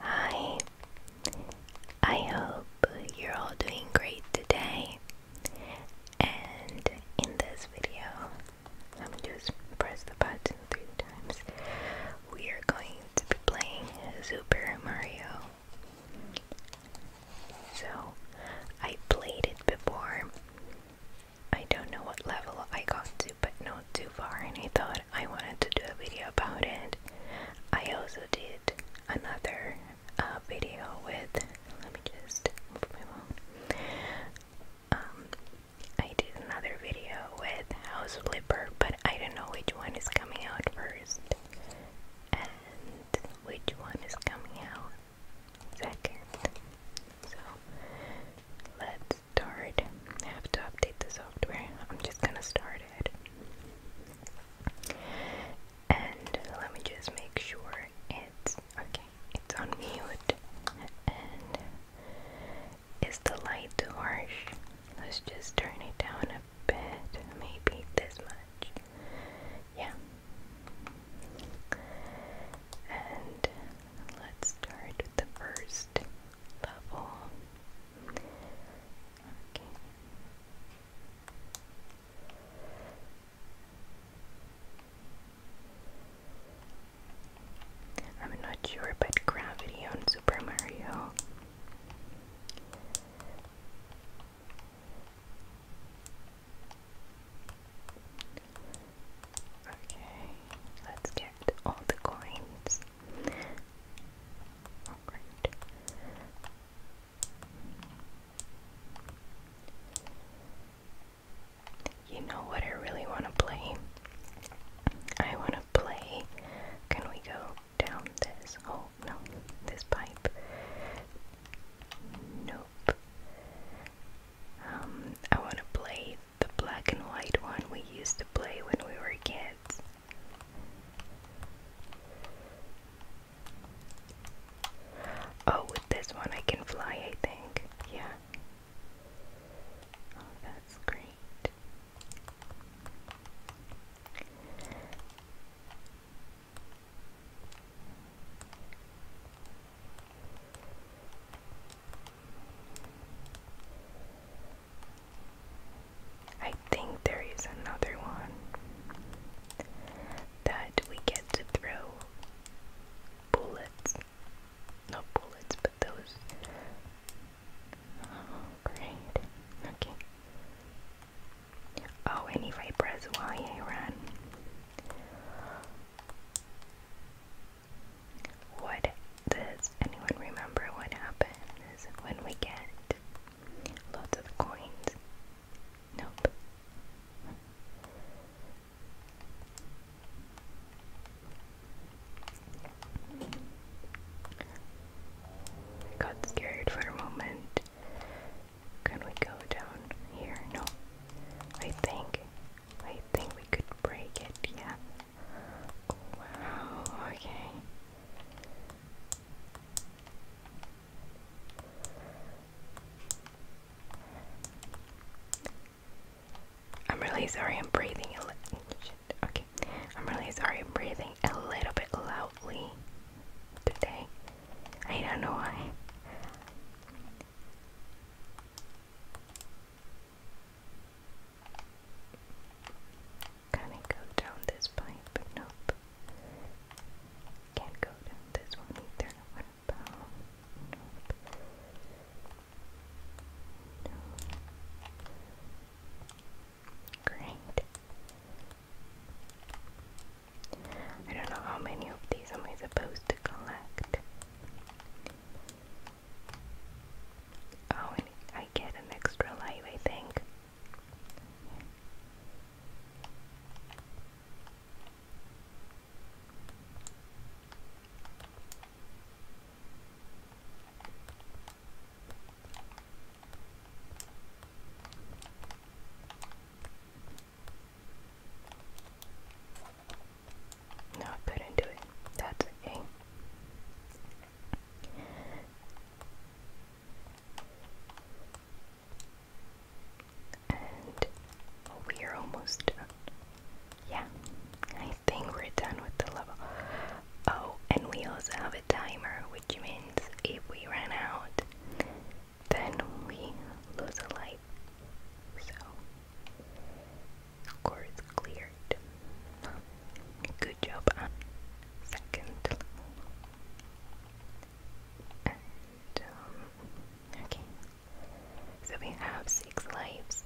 Hi, I hope you're all doing great today. And in this video, I'm let me just press the button three times. We are going to be playing Super Mario. So, I played it before. I don't know what level I got to, but not too far, and I thought I wanted to do a video about it. I also did another uh, video with, let me just Um, I did another video with House Flipper, but I don't know which one is coming out first and which one is coming out second. So let start. I have to update the software. I'm just gonna start it. And let me just make sure it's okay, it's on And is the light too harsh? Let's just turn it down a bit, maybe this much. Yeah. And let's start the first level. I'm not sure about gravity on Super Mario. Okay, let's get all the coins. You know what I really want to play? I want to play. Can we go down this? Oh, no, this pipe. Nope. Um, I want to play the black and white one we used to play when we were kids. Oh, with this one I can fly, I think. Yeah. Oh, that's great. I think there is another one that we get to throw bullets. Not bullets, but those. Oh, great. Okay. Oh, and if I press what does anyone remember what happens when we get lots of coins? Nope. Got scared for a moment. Can we go down here? No. I think I think we could break it, yeah. Wow, okay. I'm really sorry I'm breathing a little okay. I'm really sorry I'm breathing a little bit loudly today. I don't know why. Can it go down this pipe? Nope. Can't go down this one either. What about? Nope. No. Great. I don't know how many of these am I supposed to collect. Oh, I get an extra life, I think. No, I couldn't do it. That's okay. And we're almost done. Yeah, I think we're done with the level. Oh, and we also have a timer, which means if we run out, then we lose a life. So Score cleared. Good job second um, okay. So we have six lives.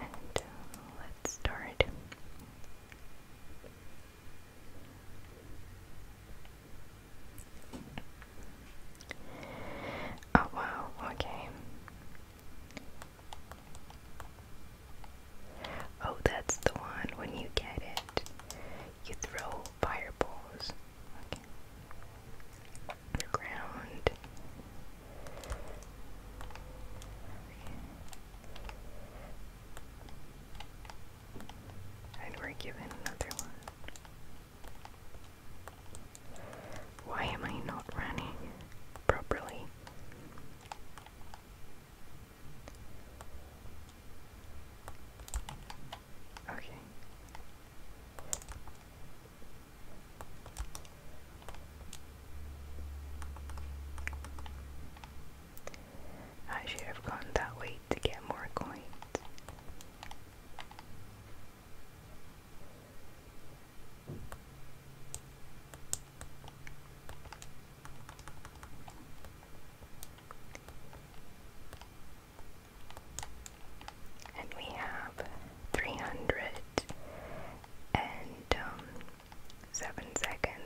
And uh, let's start. Oh wow, okay. Oh, that's the one. When you get it, you throw fireballs. ground. And we're given another one. Why am I not running properly? Okay. I should have gone that way to get more coins. And we have three hundred and um, seven seconds.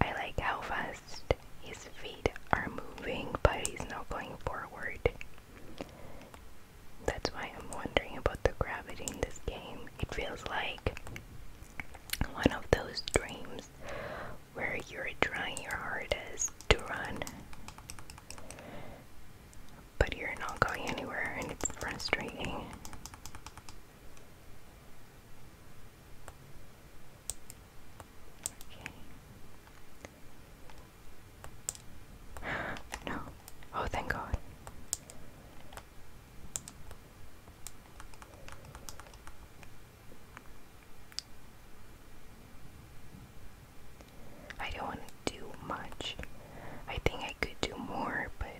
I like how fast his feet are moving, but he's not going forward. That's why I'm wondering about the gravity in this game. It feels like one of those dreams where you're trying your hardest to run but you're not going anywhere and it's frustrating. Okay. No. Oh, thank God. I don't want to do much. I think I could do more, but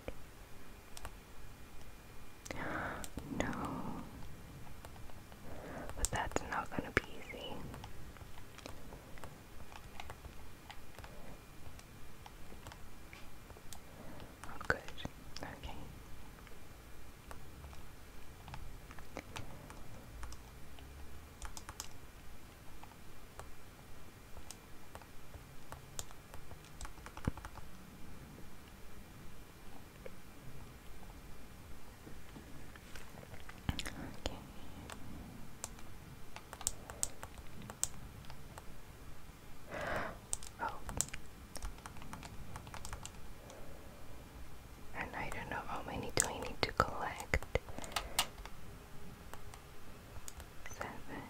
good. No. But that's not gonna be easy. Oh, good. Okay. Okay. Oh. And I don't know how many do I need to collect. Seven.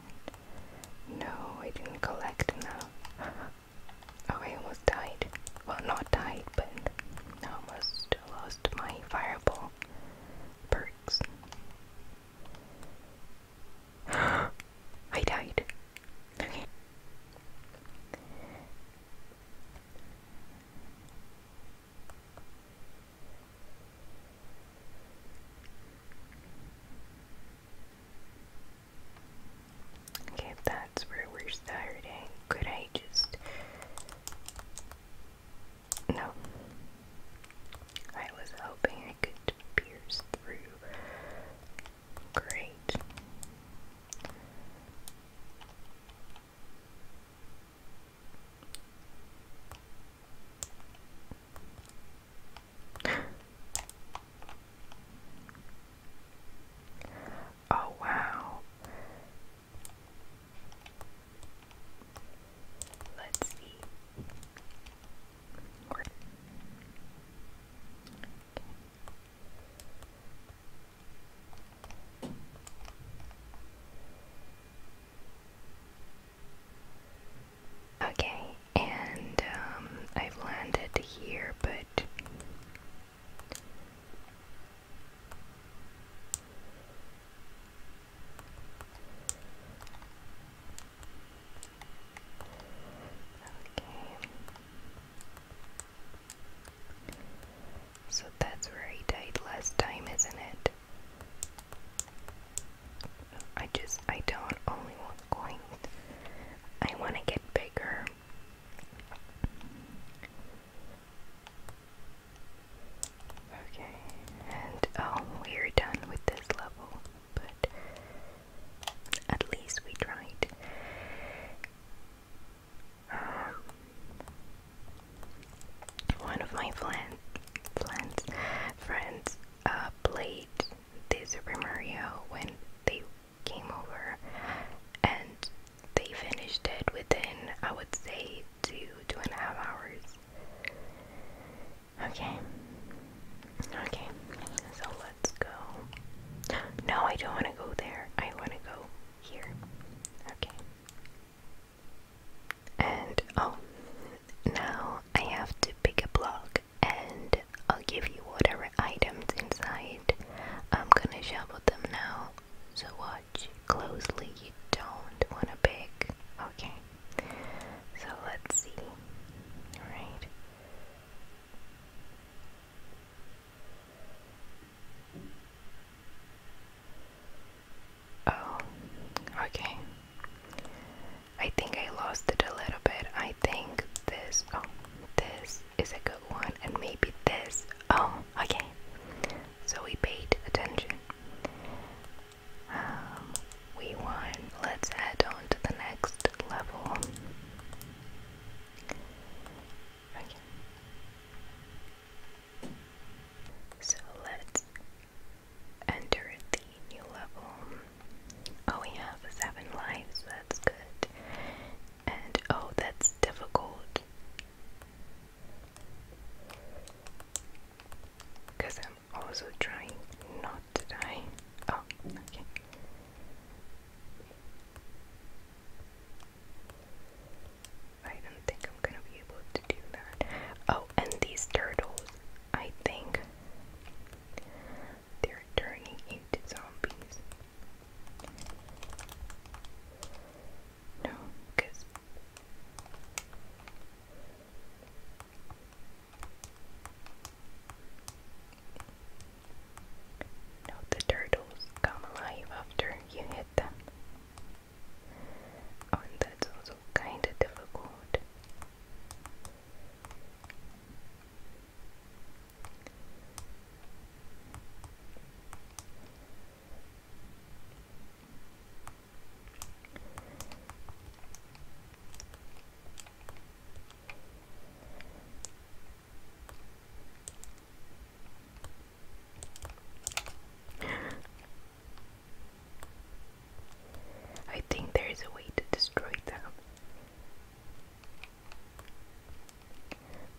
No, I didn't collect enough. oh, I almost died. Well, not died, but I almost lost my fireball perks. I died. Okay. Okay, if that's where we're starting, could I just. No. I was hoping I could pierce through. Great oh, wow. Let's see. Okay. Okay, and um, I've landed here, but okay. So that's where he died last time, isn't it? I just, I don't only want coins. I want to get bigger. Okay, and oh, we're done with this level, but at least we tried. Um, one of my plan, plans, friends uh, played the Super when they came over, and they finished it within, I would say, two two and a half hours. Okay, okay, so let's go. No, I don't want to go there. I want to go here. Okay. And oh, now I have to pick a block and I'll give you whatever items inside. I'm gonna shovel them now, so watch closely. You don't wanna pick. Okay, so let's see. Alright. Oh, okay. I think I lost it a little bit. I think this, oh, this is a good one, and maybe this. Oh, okay. So we paid attention. Um, we won. Let's head on to the next level. Okay. So let's enter the new level. Oh, we have seven lives, that's good. And oh, that's difficult. Because I'm also trying not to die. Oh, okay. I don't think I'm gonna be able to do that. Oh, and these turtles, I think they're turning into zombies. No, because no, the turtles come alive after you hit them. Oh, and kind of difficult. I think there is a way to destroy them.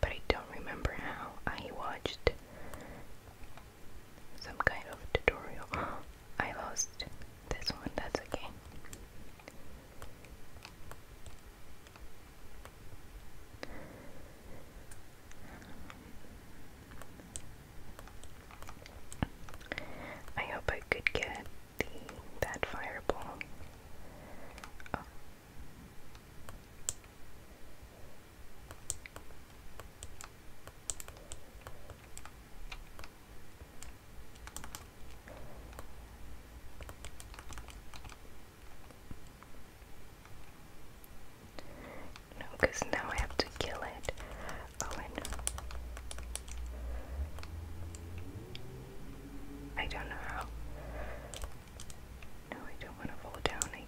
But I don't remember how. I watched some kind of tutorial. I lost this one, that's okay. I hope I could get the that fireball. No, because now I have to kill it. Oh, Owen. I don't know how. No, I don't want to fall down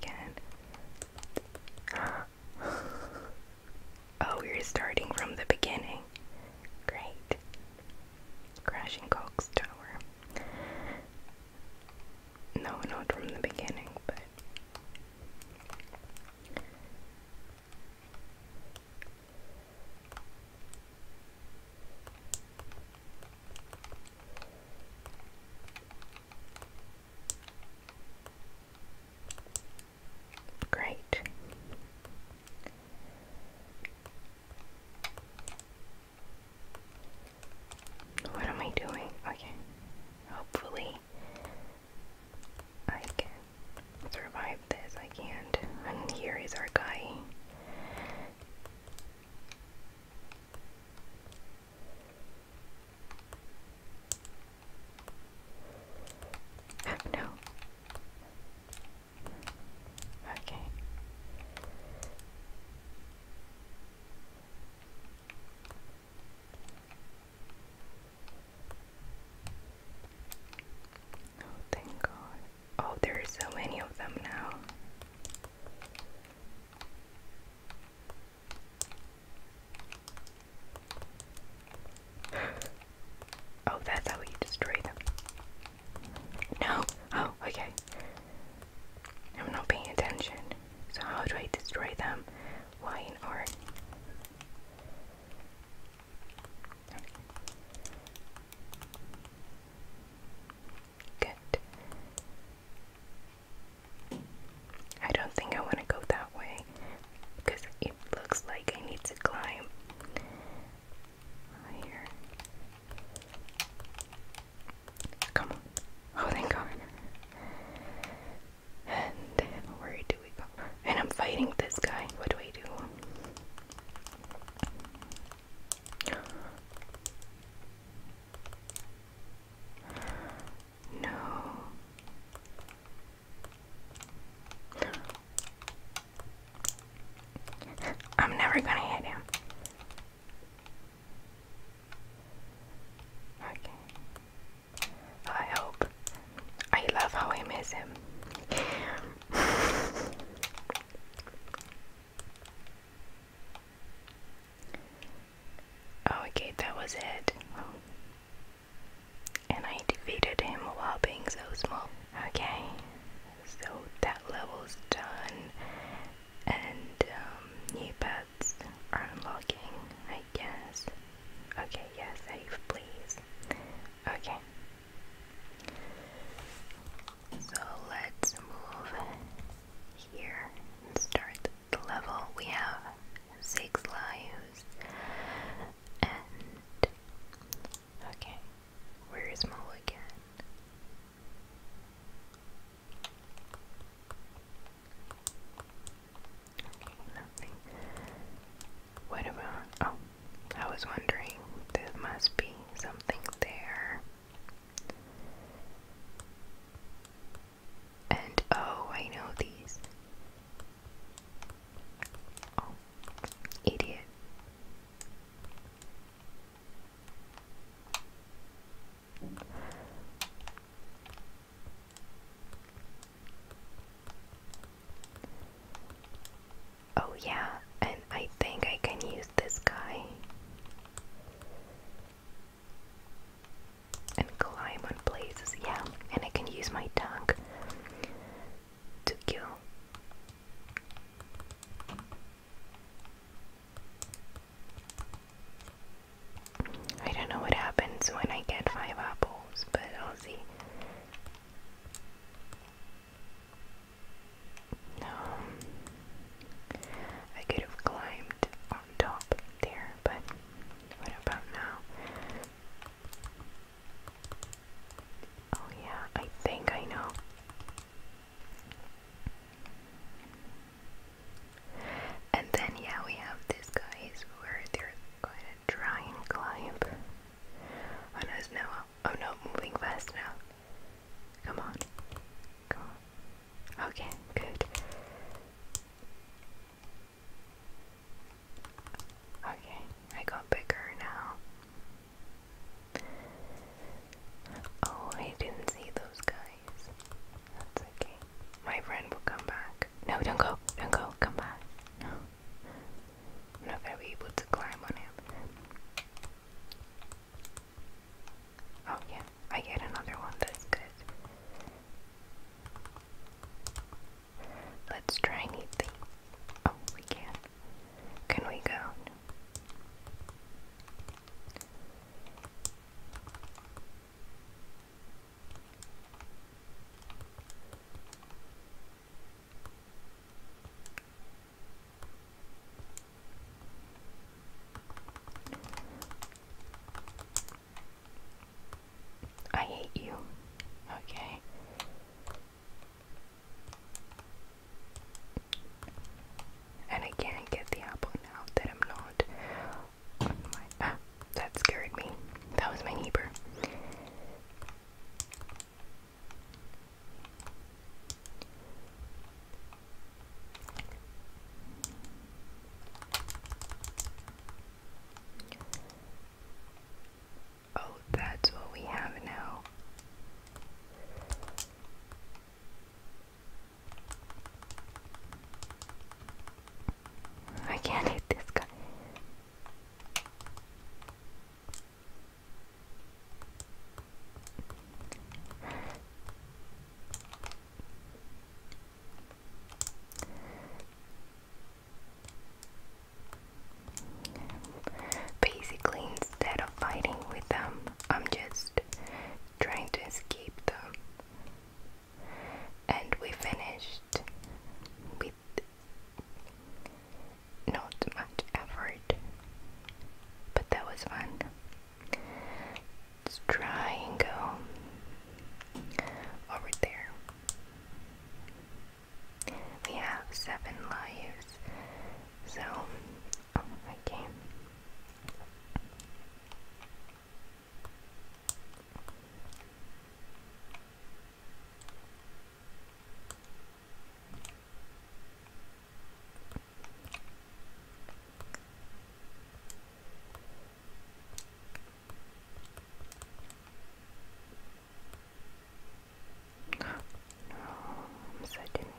again. oh, we're starting from the beginning. Great. Crashing Cox Tower. No, not from the beginning, but Great. What am I doing? Okay. Hopefully, I can survive this. I can't. And here is our guy. no. Okay. Oh, thank God. Oh, there are so many of them now. Oh, that's how you destroy them. No. Oh, okay. I'm not paying attention. So how do I destroy them? Y and Good. I don't think I want to go that way because it looks like I need to climb higher. Come on. Oh, thank God. And where do we go? And I'm fighting this guy. What do I do? No. I'm never gonna hit him. Okay. I hope. I love how I miss him. Oh, okay, that was it. And I defeated him while being so small. Okay, so that level's done. And new um, he unlocking, I guess. Okay, Yes. save, please. Okay. So let's move here and start the level. We have six lives. And. Okay, where is again? What about. Oh, I was wondering. There must be something there. And oh, I know these. Oh, idiot. Oh, yeah, and I think I can use this guy and climb on places. Yeah, and I can use my tongue to kill. I don't know what happens when I get five apples, but I'll see. Um, I could have climbed on top there, but what about now? Oh, yeah, I think I know. And then, yeah, we have these guys where they're going to try and climb. Oh no, it's no, I'm oh, moving fast now. Come on. Come on. Okay, good. Okay, I got bigger now. Oh, I didn't see those guys okay. My friend will come back. No, don't go. Don't go. Come back. No. i not going able to climb on him. Oh yeah, I get another one. That's good. Let's try new things. Oh, we can. Can we go? I hate you. Okay. And I can't get the apple now that I'm not Ah, that scared me. That was my neighbor. Oh, that's what we have now. I can't hit this guy. Basically, instead of fighting with them, I'm just trying to escape them and we finished with not much effort, but that was fun. Let's try and go over there. We have seven lives, so oh, okay. No, I'm so didn't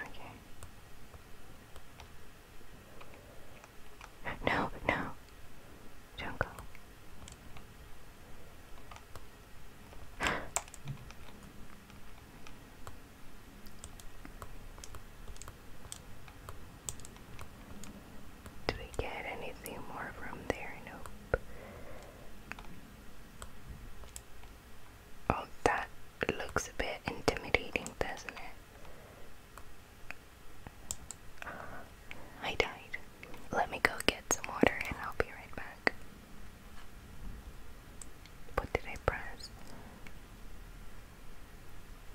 Okay. No, no. Don't go. Did we get anything more from there? Nope. Oh, that looks a bit intimidating, doesn't it? Uh, I died. Let me go get some water and I'll be right back. What did I press?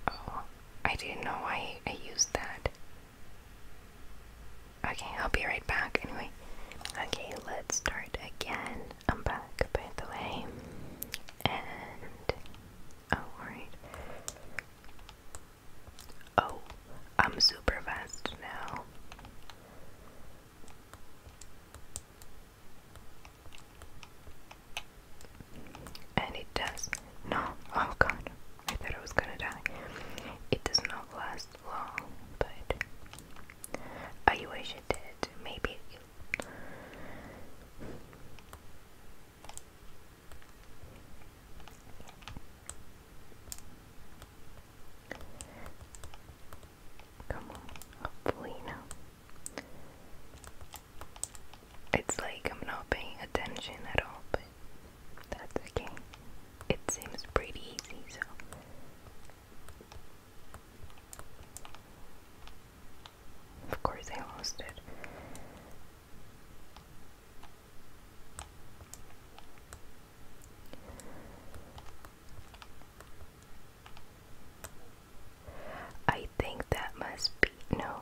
Oh, I didn't know I, I used that. Okay, I'll be right back anyway. Okay, let's start again. I'm back, by the way. And Oh, alright. Oh, I'm super fast now. And it does. No, oh god, I thought I was gonna die. It does not last long, but I oh, wish it did. Maybe. Come on, hopefully now. It's like I'm not paying attention at all, but that's okay. It seems pretty easy, so. Of course, I lost it. I think that must be no.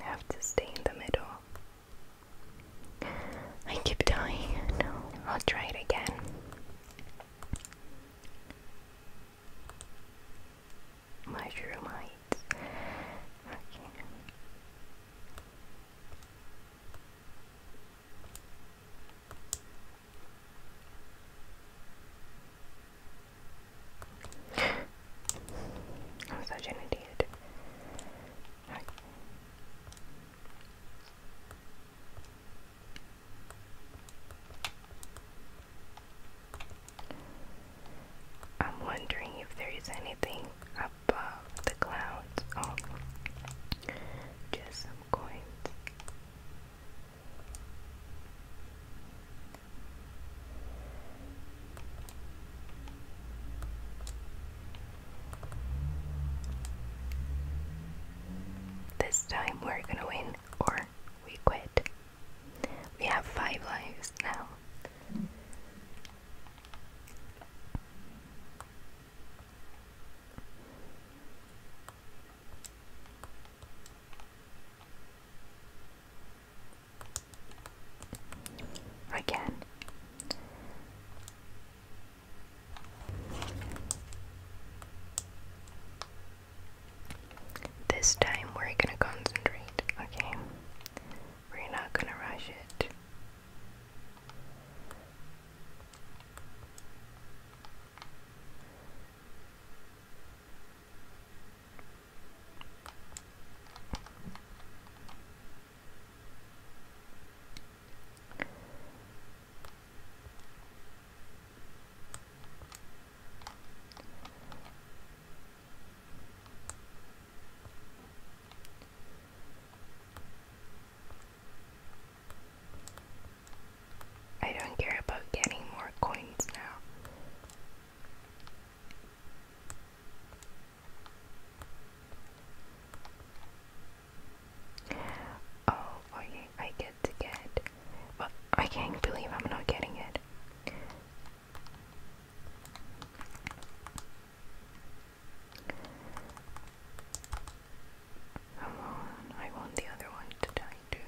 have to stay in the middle. I keep dying. No, I'll try it again. Mushroom heights. Okay. I'm such an idiot. I'm wondering if there is anything above the clouds. just oh, some this time we're gonna win or we quit. We have five lives now again. This time we're gonna concentrate, okay? We're not gonna rush it. I don't care about getting more coins now. Oh, okay, I get to get. But I can't believe I'm not getting it. Come on, I want the other one to die too.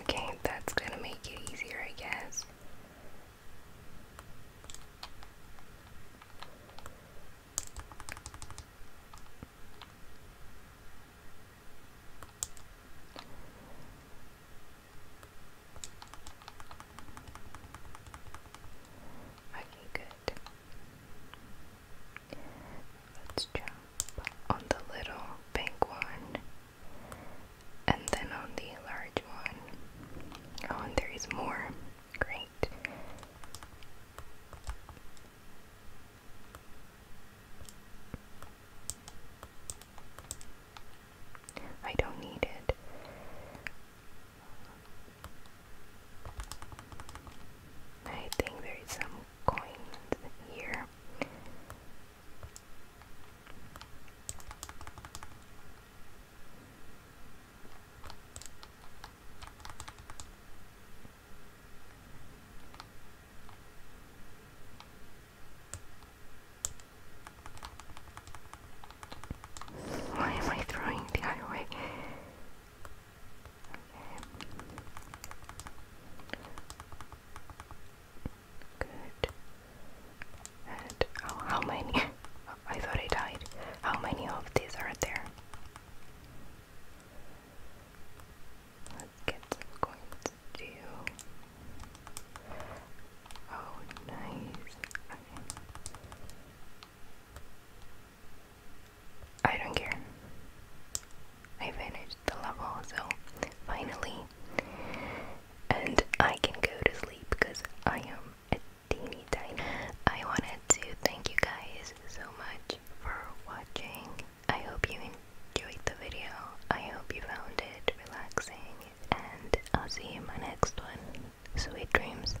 Okay, that's gonna make it easier, I guess. Okay, good. Let's jump on the little pink one and then on the large one. Oh, and there is more. Great. I don't need it. I think there is some coins here. Why am I throwing the highway? Okay. Good. And oh, how many? I thought I died. How many of these are there? Let's get some coins Oh, nice. I don't care. I finished the level, so finally. And I can go to sleep because I am a teeny tiny. I wanted to thank you guys so much for watching. I hope you enjoyed the video. I hope you found it relaxing. And I'll see you in my next one. Sweet dreams.